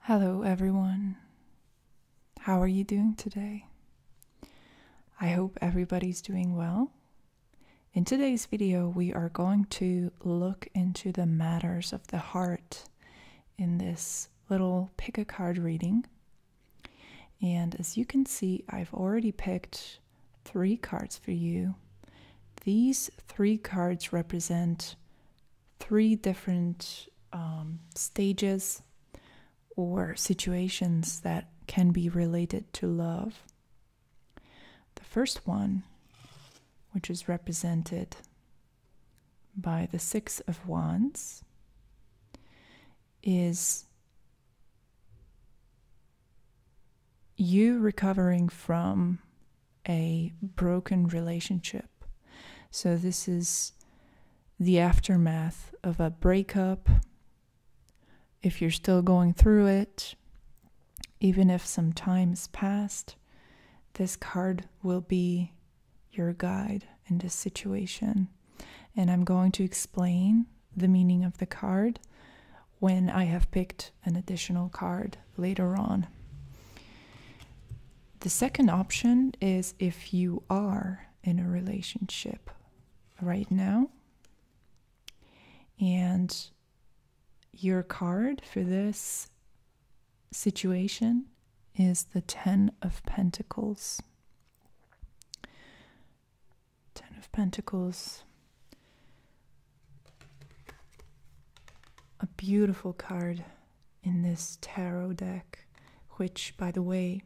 Hello, everyone. How are you doing today? I hope everybody's doing well. In today's video, we are going to look into the matters of the heart in this little pick a card reading. And as you can see, I've already picked three cards for you. These three cards represent three different um, stages or situations that can be related to love. The first one, which is represented by the Six of Wands is you recovering from a broken relationship. So, this is the aftermath of a breakup. If you're still going through it, even if some time has passed, this card will be your guide in this situation. And I'm going to explain the meaning of the card when I have picked an additional card later on. The second option is if you are in a relationship right now and your card for this situation is the Ten of Pentacles. Ten of Pentacles. A beautiful card in this tarot deck, which, by the way,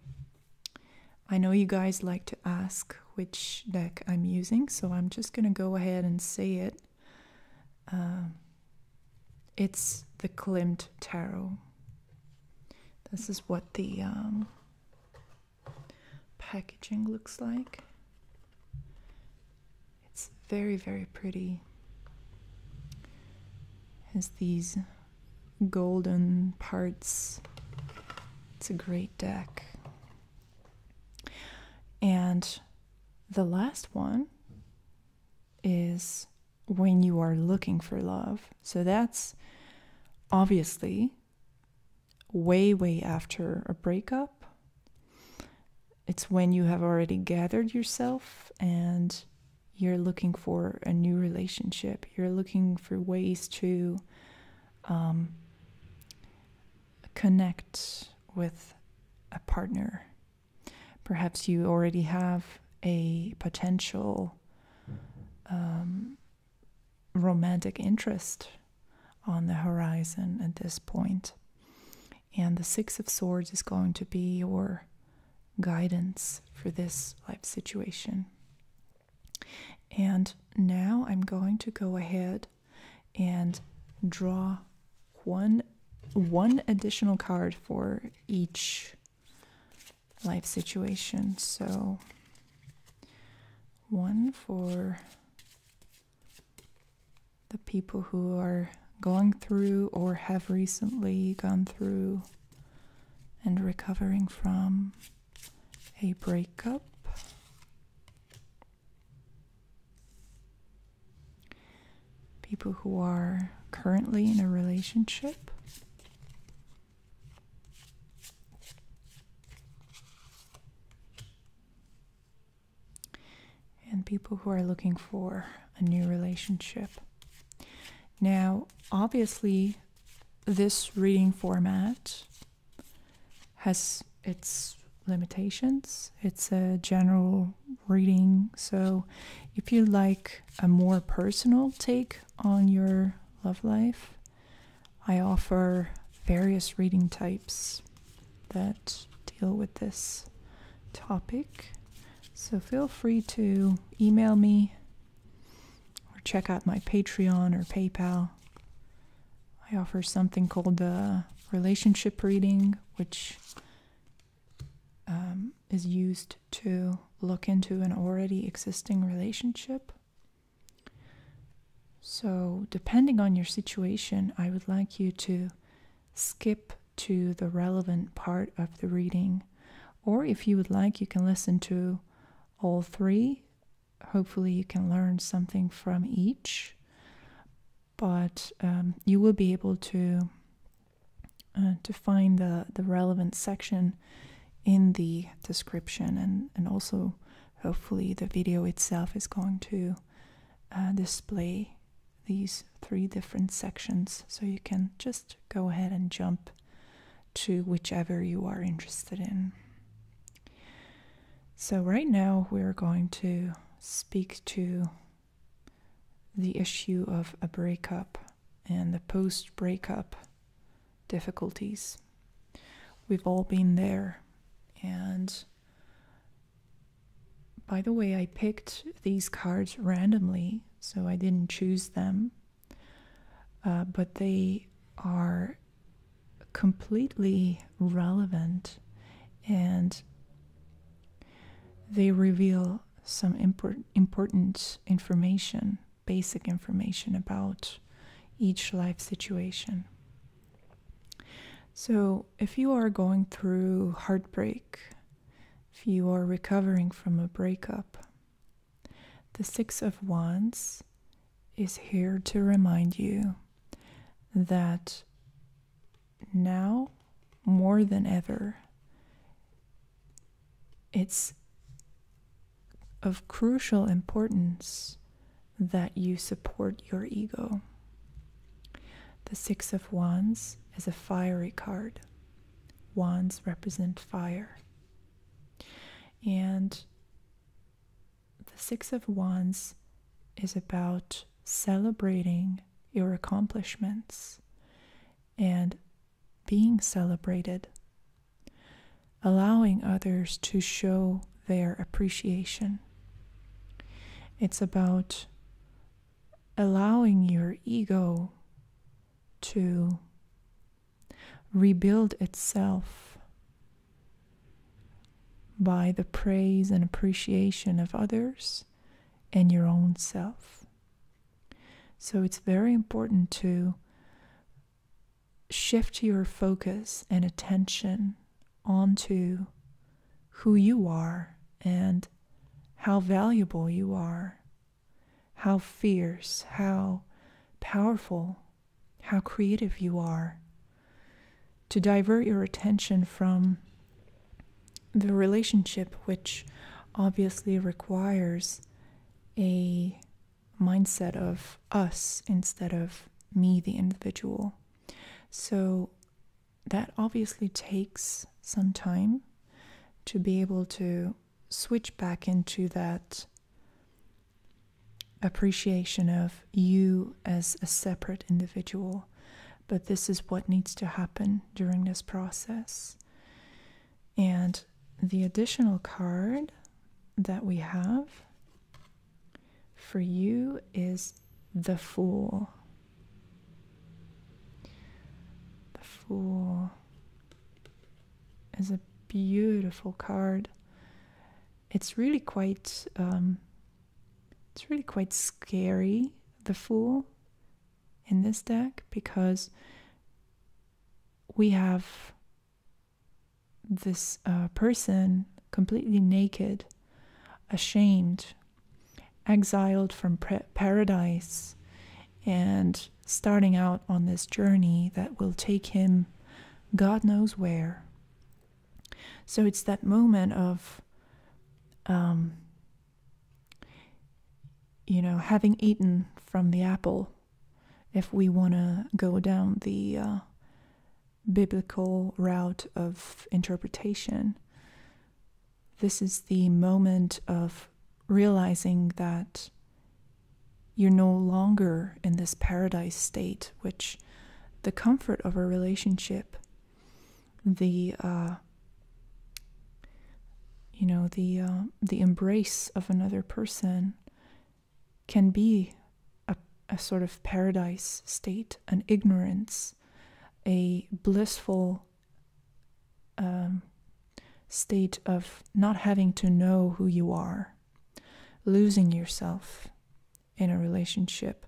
I know you guys like to ask which deck I'm using, so I'm just going to go ahead and say it um, it's the Klimt Tarot. This is what the um, packaging looks like. It's very, very pretty. Has these golden parts. It's a great deck. And the last one is when you are looking for love. So that's obviously way, way after a breakup. It's when you have already gathered yourself and you're looking for a new relationship. You're looking for ways to um, connect with a partner Perhaps you already have a potential um, romantic interest on the horizon at this point. And the Six of Swords is going to be your guidance for this life situation. And now I'm going to go ahead and draw one one additional card for each life situation. So one for the people who are going through or have recently gone through and recovering from a breakup people who are currently in a relationship. And people who are looking for a new relationship. Now, obviously, this reading format has its limitations. It's a general reading. So if you like a more personal take on your love life, I offer various reading types that deal with this topic. So feel free to email me or check out my Patreon or PayPal. I offer something called the relationship reading, which um, is used to look into an already existing relationship. So, depending on your situation, I would like you to skip to the relevant part of the reading. Or if you would like, you can listen to all three. Hopefully, you can learn something from each but um, you will be able to uh, to find the, the relevant section in the description and, and also hopefully the video itself is going to uh, display these three different sections so you can just go ahead and jump to whichever you are interested in. So right now we're going to speak to the issue of a breakup and the post breakup difficulties. We've all been there. And by the way, I picked these cards randomly, so I didn't choose them. Uh, but they are completely relevant and they reveal some important information, basic information about each life situation. So, if you are going through heartbreak, if you are recovering from a breakup, the Six of Wands is here to remind you that now more than ever, it's of crucial importance that you support your ego. The Six of Wands is a fiery card. Wands represent fire. And the Six of Wands is about celebrating your accomplishments and being celebrated, allowing others to show their appreciation. It's about allowing your ego to rebuild itself by the praise and appreciation of others and your own self. So it's very important to shift your focus and attention onto who you are and how valuable you are, how fierce, how powerful, how creative you are. To divert your attention from the relationship, which obviously requires a mindset of us instead of me, the individual. So that obviously takes some time to be able to switch back into that appreciation of you as a separate individual but this is what needs to happen during this process. And the additional card that we have for you is the Fool. The Fool is a beautiful card. It's really quite, um, it's really quite scary. The Fool in this deck because we have this uh, person completely naked, ashamed, exiled from paradise, and starting out on this journey that will take him God knows where. So it's that moment of um, you know, having eaten from the apple, if we want to go down the uh, biblical route of interpretation, this is the moment of realizing that you're no longer in this paradise state, which the comfort of a relationship the uh, you know the uh, the embrace of another person can be a, sort of paradise state, an ignorance, a blissful um, state of not having to know who you are, losing yourself in a relationship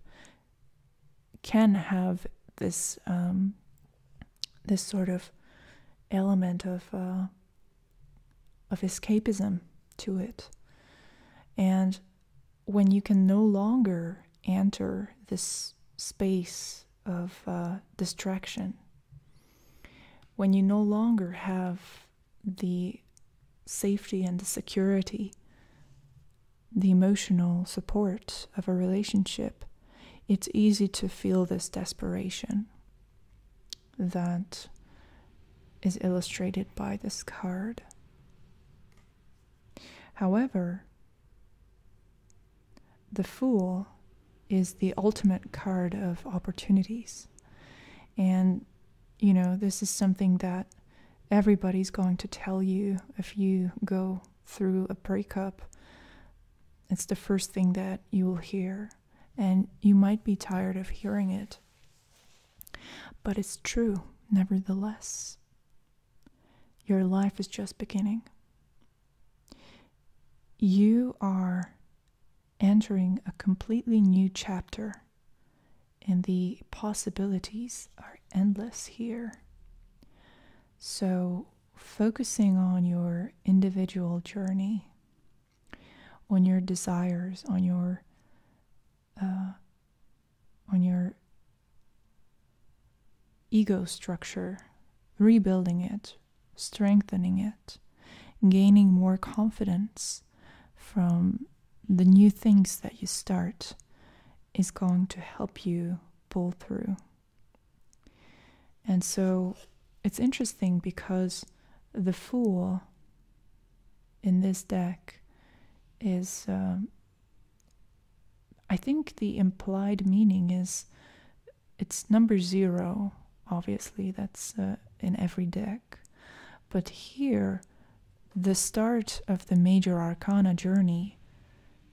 can have this um, this sort of element of uh, of escapism to it, and when you can no longer enter this space of uh, distraction, when you no longer have the safety and the security the emotional support of a relationship, it's easy to feel this desperation that is illustrated by this card. However, the Fool is the ultimate card of opportunities. And, you know, this is something that everybody's going to tell you if you go through a breakup, it's the first thing that you will hear, and you might be tired of hearing it. But it's true, nevertheless. Your life is just beginning. You are entering a completely new chapter, and the possibilities are endless here. So focusing on your individual journey, on your desires, on your uh, on your ego structure, rebuilding it, strengthening it, gaining more confidence from the new things that you start is going to help you pull through. And so it's interesting because the Fool in this deck is, um, I think the implied meaning is it's number zero, obviously, that's uh, in every deck. But here, the start of the Major Arcana journey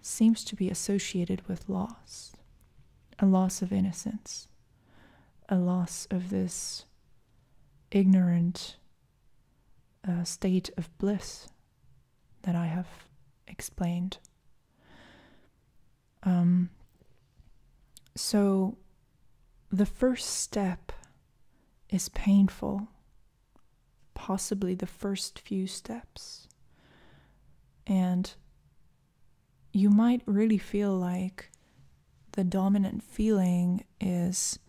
seems to be associated with loss a loss of innocence, a loss of this ignorant uh, state of bliss that I have explained. Um, so the first step is painful possibly the first few steps. And you might really feel like the dominant feeling is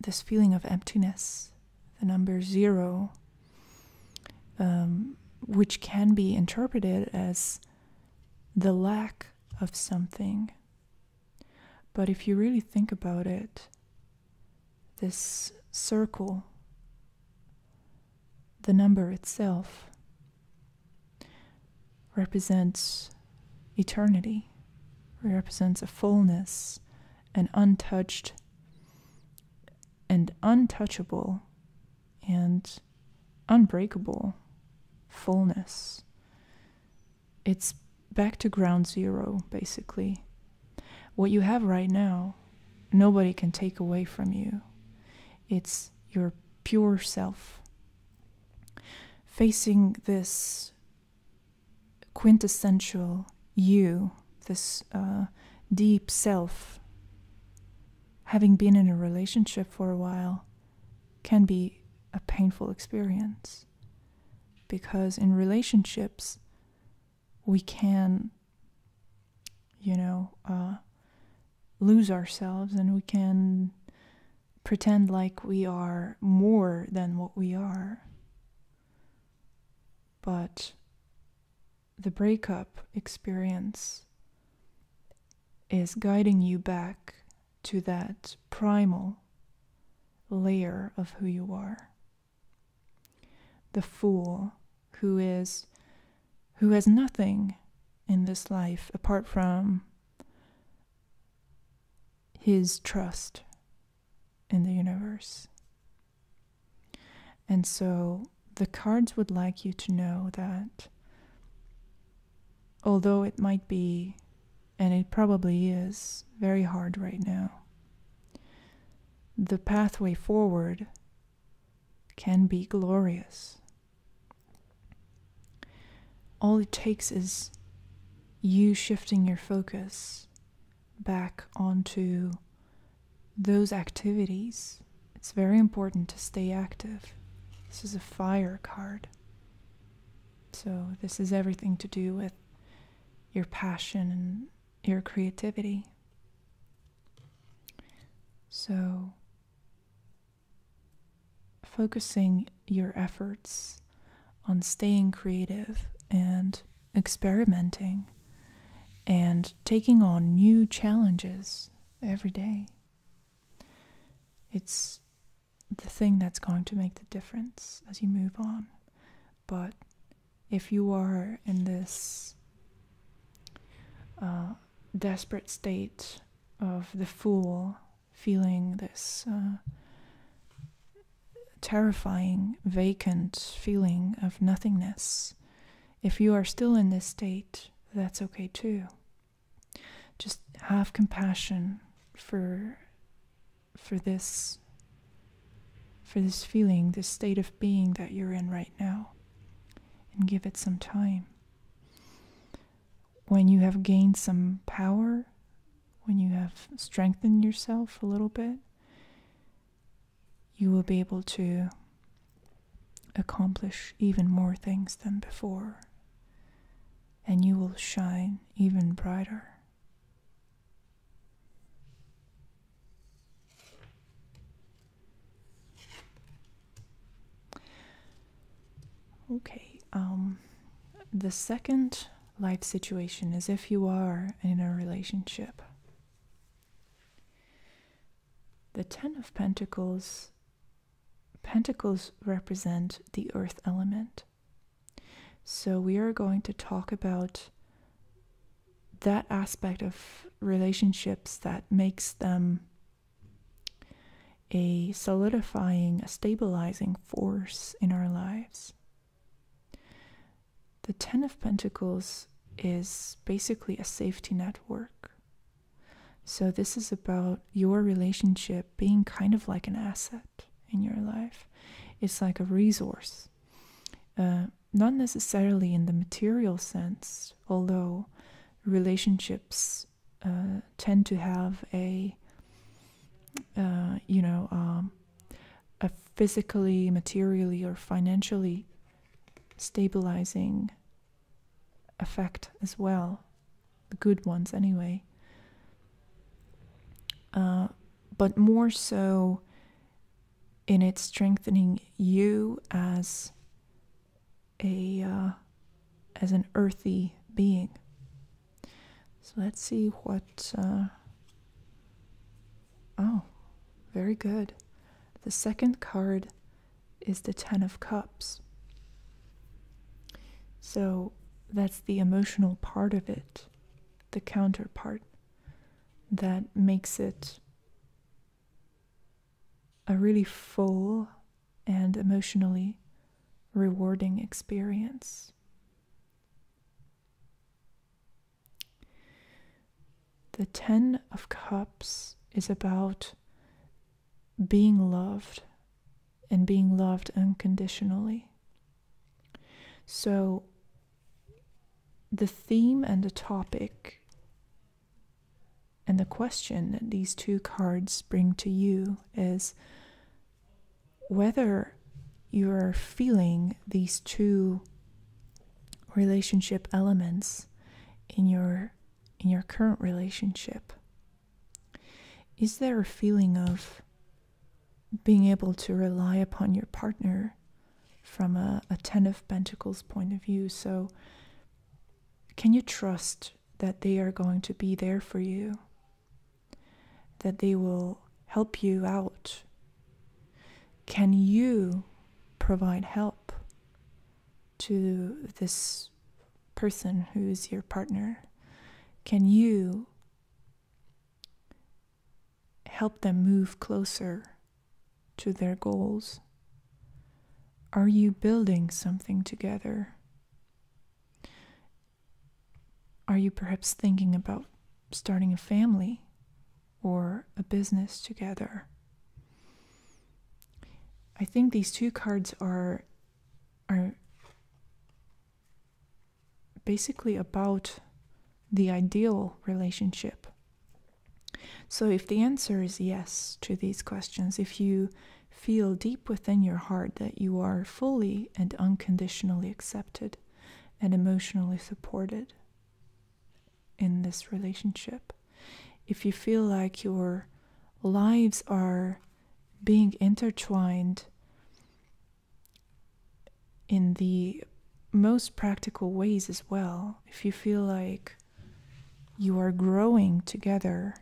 this feeling of emptiness, the number zero, um, which can be interpreted as the lack of something. But if you really think about it, this circle, the number itself, represents eternity, represents a fullness, an untouched and untouchable and unbreakable fullness. It's back to ground zero, basically. What you have right now, nobody can take away from you. It's your pure self. Facing this quintessential you, this uh, deep self, having been in a relationship for a while, can be a painful experience. Because in relationships, we can, you know, uh, lose ourselves and we can pretend like we are more than what we are. But the breakup experience is guiding you back to that primal layer of who you are. The fool who is who has nothing in this life apart from his trust in the universe. And so the cards would like you to know that although it might be, and it probably is, very hard right now, the pathway forward can be glorious. All it takes is you shifting your focus back onto those activities. It's very important to stay active. This is a fire card. So, this is everything to do with your passion and your creativity. So, focusing your efforts on staying creative and experimenting and taking on new challenges every day. It's the thing that's going to make the difference as you move on. But if you are in this uh, desperate state of the fool feeling this uh, terrifying, vacant feeling of nothingness, if you are still in this state, that's okay too. Just have compassion for for this for this feeling, this state of being that you're in right now, and give it some time. When you have gained some power, when you have strengthened yourself a little bit, you will be able to accomplish even more things than before, and you will shine even brighter. Okay, um, the second life situation is if you are in a relationship. The Ten of Pentacles, Pentacles represent the earth element. So we are going to talk about that aspect of relationships that makes them a solidifying, a stabilizing force in our lives. The Ten of Pentacles is basically a safety net work. So, this is about your relationship being kind of like an asset in your life. It's like a resource, uh, not necessarily in the material sense, although relationships uh, tend to have a uh, you know um, a physically, materially, or financially stabilizing effect as well. The good ones, anyway. Uh, but more so in it strengthening you as a uh, as an earthy being. So let's see what. Uh, oh, very good. The second card is the Ten of Cups. So that's the emotional part of it, the counterpart that makes it a really full and emotionally rewarding experience. The Ten of Cups is about being loved and being loved unconditionally. So, the theme and the topic and the question that these two cards bring to you is whether you're feeling these two relationship elements in your in your current relationship is there a feeling of being able to rely upon your partner from a, Ten of Pentacles point of view. So, can you trust that they are going to be there for you? That they will help you out? Can you provide help to this person who is your partner? Can you help them move closer to their goals? Are you building something together? Are you perhaps thinking about starting a family or a business together? I think these two cards are are basically about the ideal relationship so, if the answer is yes to these questions, if you feel deep within your heart that you are fully and unconditionally accepted and emotionally supported in this relationship, if you feel like your lives are being intertwined in the most practical ways as well. If you feel like you are growing together,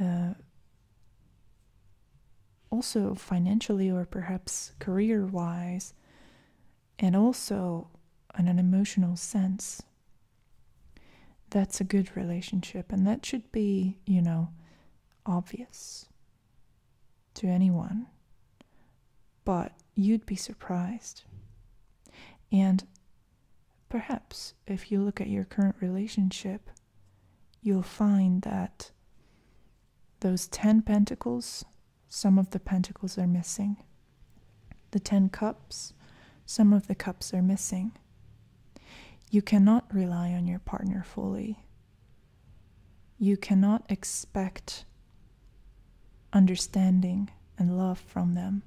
uh, also financially or perhaps career wise, and also in an emotional sense, that's a good relationship. And that should be, you know, obvious to anyone, but you'd be surprised. And perhaps if you look at your current relationship, you'll find that those 10 pentacles, some of the pentacles are missing. The 10 cups, some of the cups are missing. You cannot rely on your partner fully you cannot expect understanding and love from them.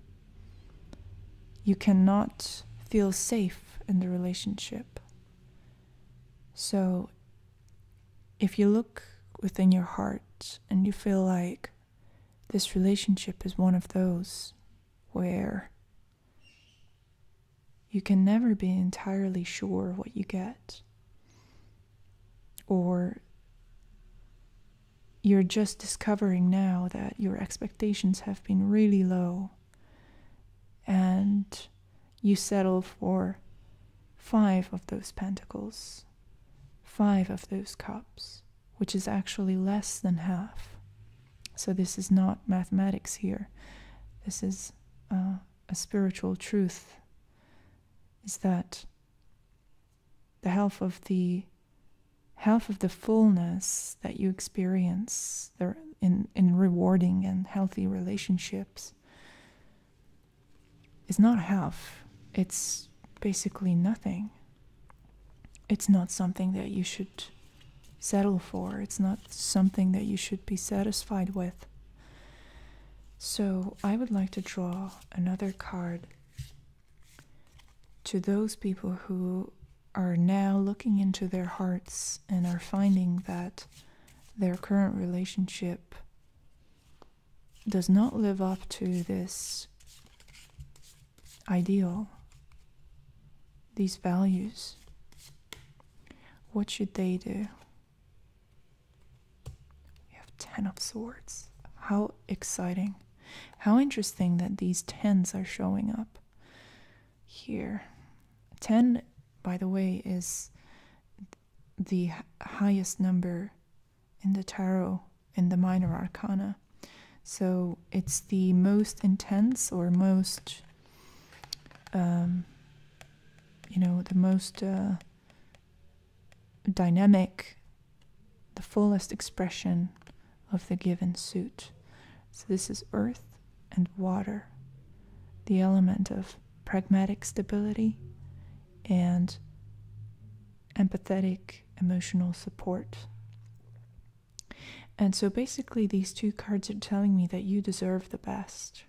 You cannot feel safe in the relationship. So, if you look within your heart and you feel like this relationship is one of those where you can never be entirely sure what you get, or you're just discovering now that your expectations have been really low and you settle for five of those pentacles, five of those cups, which is actually less than half. So, this is not mathematics here. This is uh, a spiritual truth is that the health of the health of the fullness that you experience in, in rewarding and healthy relationships is not health. It's basically nothing. It's not something that you should settle for. It's not something that you should be satisfied with. So I would like to draw another card to those people who are now looking into their hearts and are finding that their current relationship does not live up to this ideal, these values, what should they do? We have 10 of swords. How exciting. How interesting that these 10s are showing up here. 10, by the way, is the highest number in the tarot in the minor arcana. So it's the most intense or most, um, you know, the most uh, dynamic, the fullest expression of the given suit. So, this is earth and water, the element of pragmatic stability and empathetic emotional support. And so basically, these two cards are telling me that you deserve the best.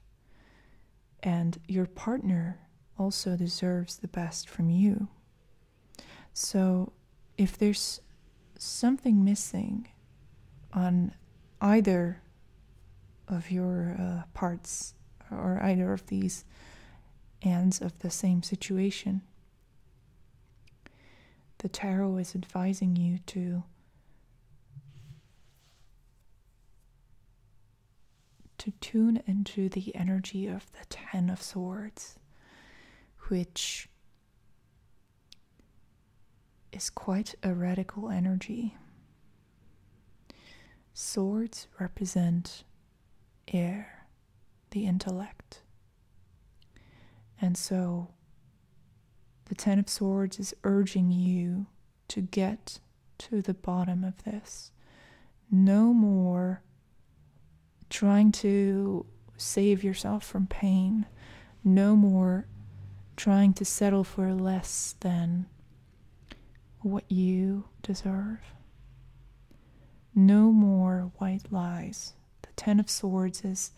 And your partner also deserves the best from you. So if there's something missing on either of your uh, parts or either of these ends of the same situation, the tarot is advising you to to tune into the energy of the Ten of Swords, which is quite a radical energy. Swords represent air, the intellect. And so the Ten of Swords is urging you to get to the bottom of this. No more trying to save yourself from pain. No more trying to settle for less than what you deserve. No more white lies. The Ten of Swords is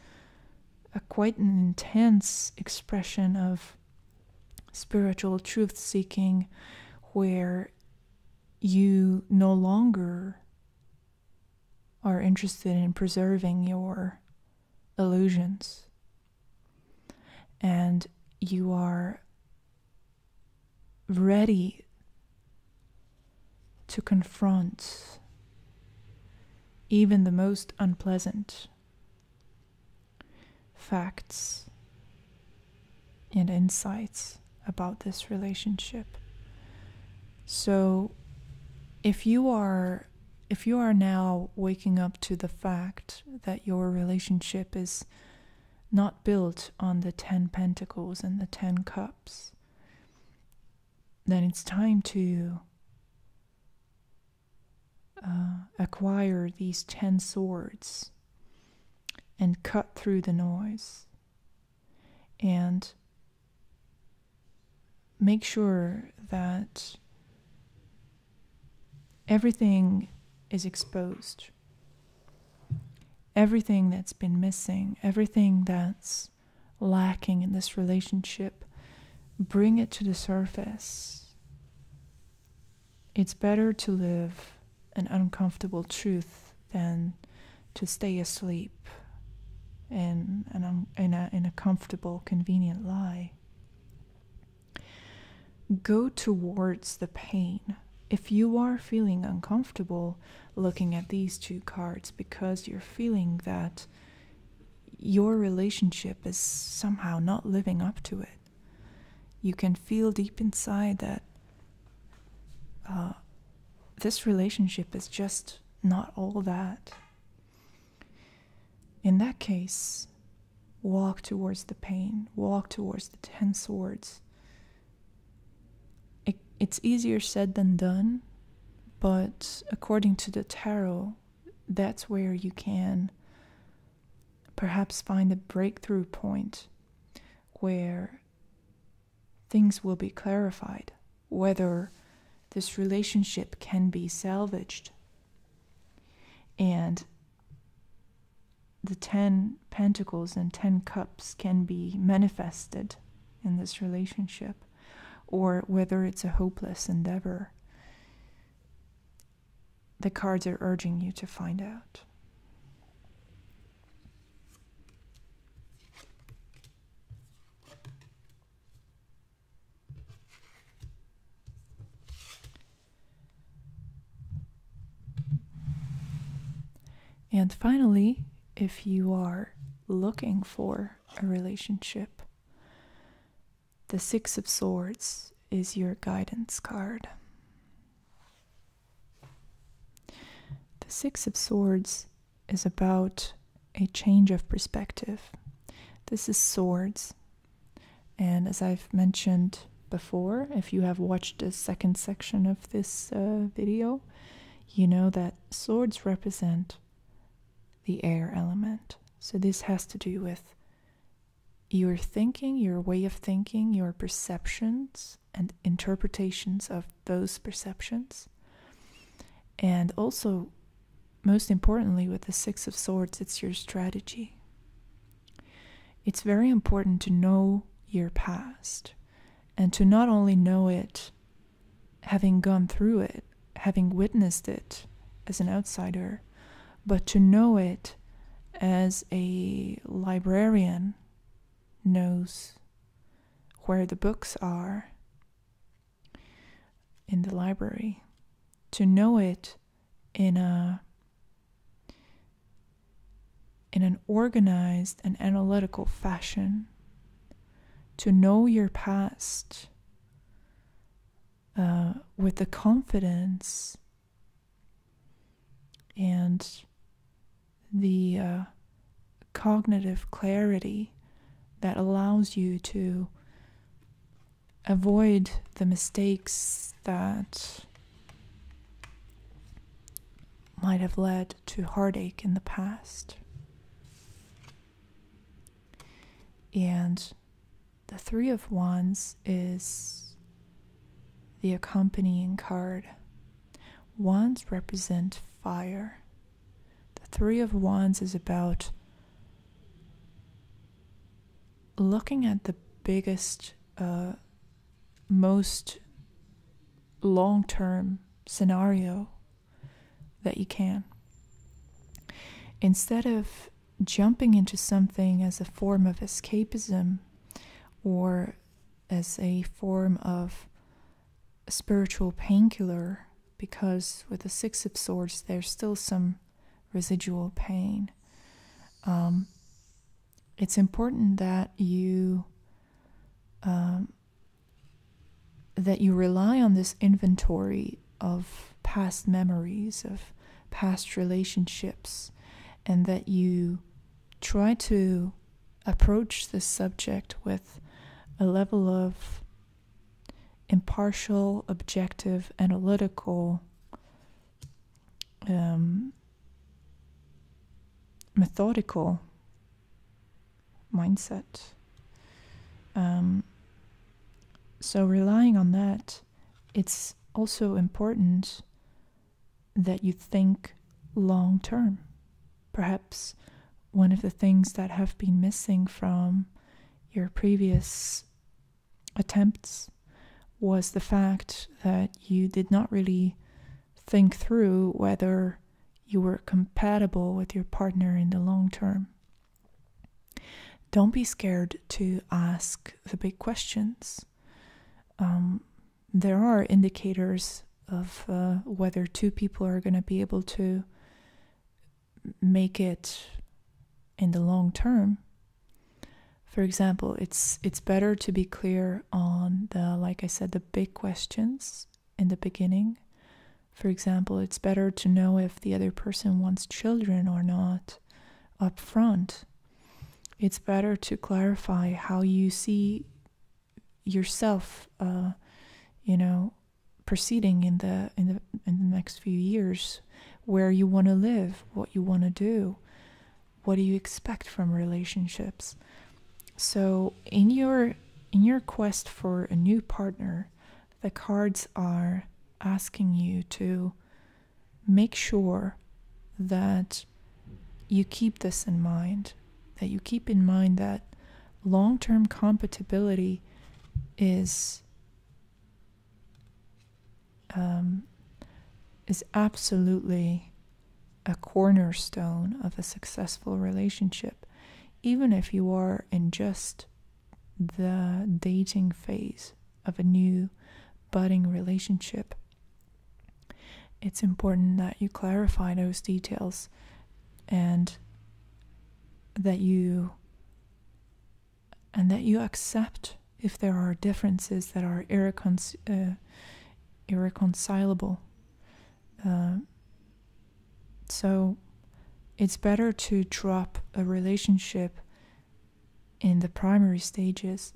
a quite an intense expression of spiritual truth seeking where you no longer are interested in preserving your illusions and you are ready to confront even the most unpleasant facts and insights about this relationship. So if you are if you are now waking up to the fact that your relationship is not built on the 10 pentacles and the 10 cups, then it's time to uh, acquire these 10 swords and cut through the noise and make sure that everything is exposed. Everything that's been missing, everything that's lacking in this relationship, bring it to the surface. It's better to live an uncomfortable truth than to stay asleep in, a comfortable, convenient lie. Go towards the pain. If you are feeling uncomfortable looking at these two cards because you're feeling that your relationship is somehow not living up to it, you can feel deep inside that uh, this relationship is just not all that. In that case, walk towards the pain, walk towards the tense words. it's easier said than done, but according to the tarot, that's where you can perhaps find a breakthrough point where things will be clarified, whether this relationship can be salvaged. And the 10 pentacles and 10 cups can be manifested in this relationship, or whether it's a hopeless endeavor the cards are urging you to find out. And finally, if you are looking for a relationship, the Six of Swords is your guidance card. The Six of Swords is about a change of perspective. This is swords. And as I've mentioned before, if you have watched the second section of this uh, video, you know that swords represent the air element. So this has to do with your thinking, your way of thinking, your perceptions and interpretations of those perceptions. And also, most importantly, with the Six of Swords, it's your strategy. It's very important to know your past and to not only know it having gone through it, having witnessed it as an outsider, but to know it as a librarian knows where the books are in the library to know it in a in an organized and analytical fashion to know your past uh, with the confidence and the uh, cognitive clarity that allows you to avoid the mistakes that might have led to heartache in the past. And the Three of Wands is the accompanying card. Wands represent fire. The Three of Wands is about looking at the biggest, uh, most long term scenario that you can. Instead of jumping into something as a form of escapism or as a form of a spiritual painkiller because with the Six of Swords, there's still some residual pain. Um, it's important that you um, that you rely on this inventory of past memories of past relationships, and that you try to approach the subject with a level of impartial, objective, analytical um, methodical mindset. Um, so, relying on that, it's also important that you think long term. Perhaps one of the things that have been missing from your previous attempts was the fact that you did not really think through whether you were compatible with your partner in the long term. Don't be scared to ask the big questions. Um, there are indicators of uh, whether two people are going to be able to make it in the long term. For example, it's it's better to be clear on the like I said the big questions in the beginning. For example, it's better to know if the other person wants children or not up front it's better to clarify how you see yourself, uh, you know, proceeding in the in the in the next few years, where you want to live, what you want to do, what do you expect from relationships. So in your in your quest for a new partner, the cards are asking you to make sure that you keep this in mind, that you keep in mind that long term compatibility is. Um, is absolutely a cornerstone of a successful relationship, even if you are in just the dating phase of a new budding relationship. It's important that you clarify those details and that you and that you accept if there are differences that are uh, irreconcilable. Uh, so it's better to drop a relationship in the primary stages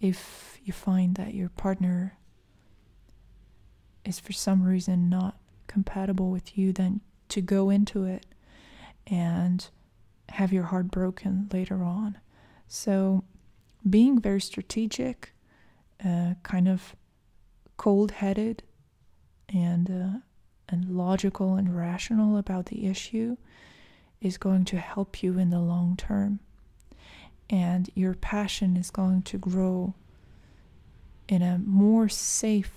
if you find that your partner is for some reason not compatible with you, then to go into it and have your heart broken later on. So, being very strategic, uh, kind of cold headed, and uh, and logical and rational about the issue is going to help you in the long term. And your passion is going to grow in a more safe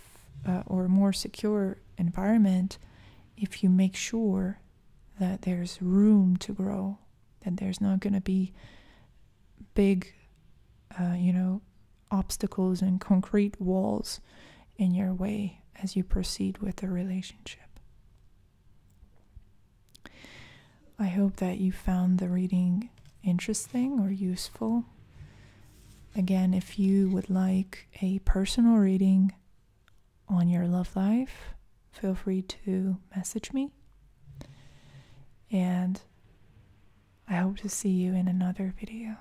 uh, or more secure environment if you make sure that there's room to grow, that there's not going to be big, uh, you know, obstacles and concrete walls in your way as you proceed with the relationship. I hope that you found the reading interesting or useful. Again, if you would like a personal reading on your love life, feel free to message me. And I hope to see you in another video.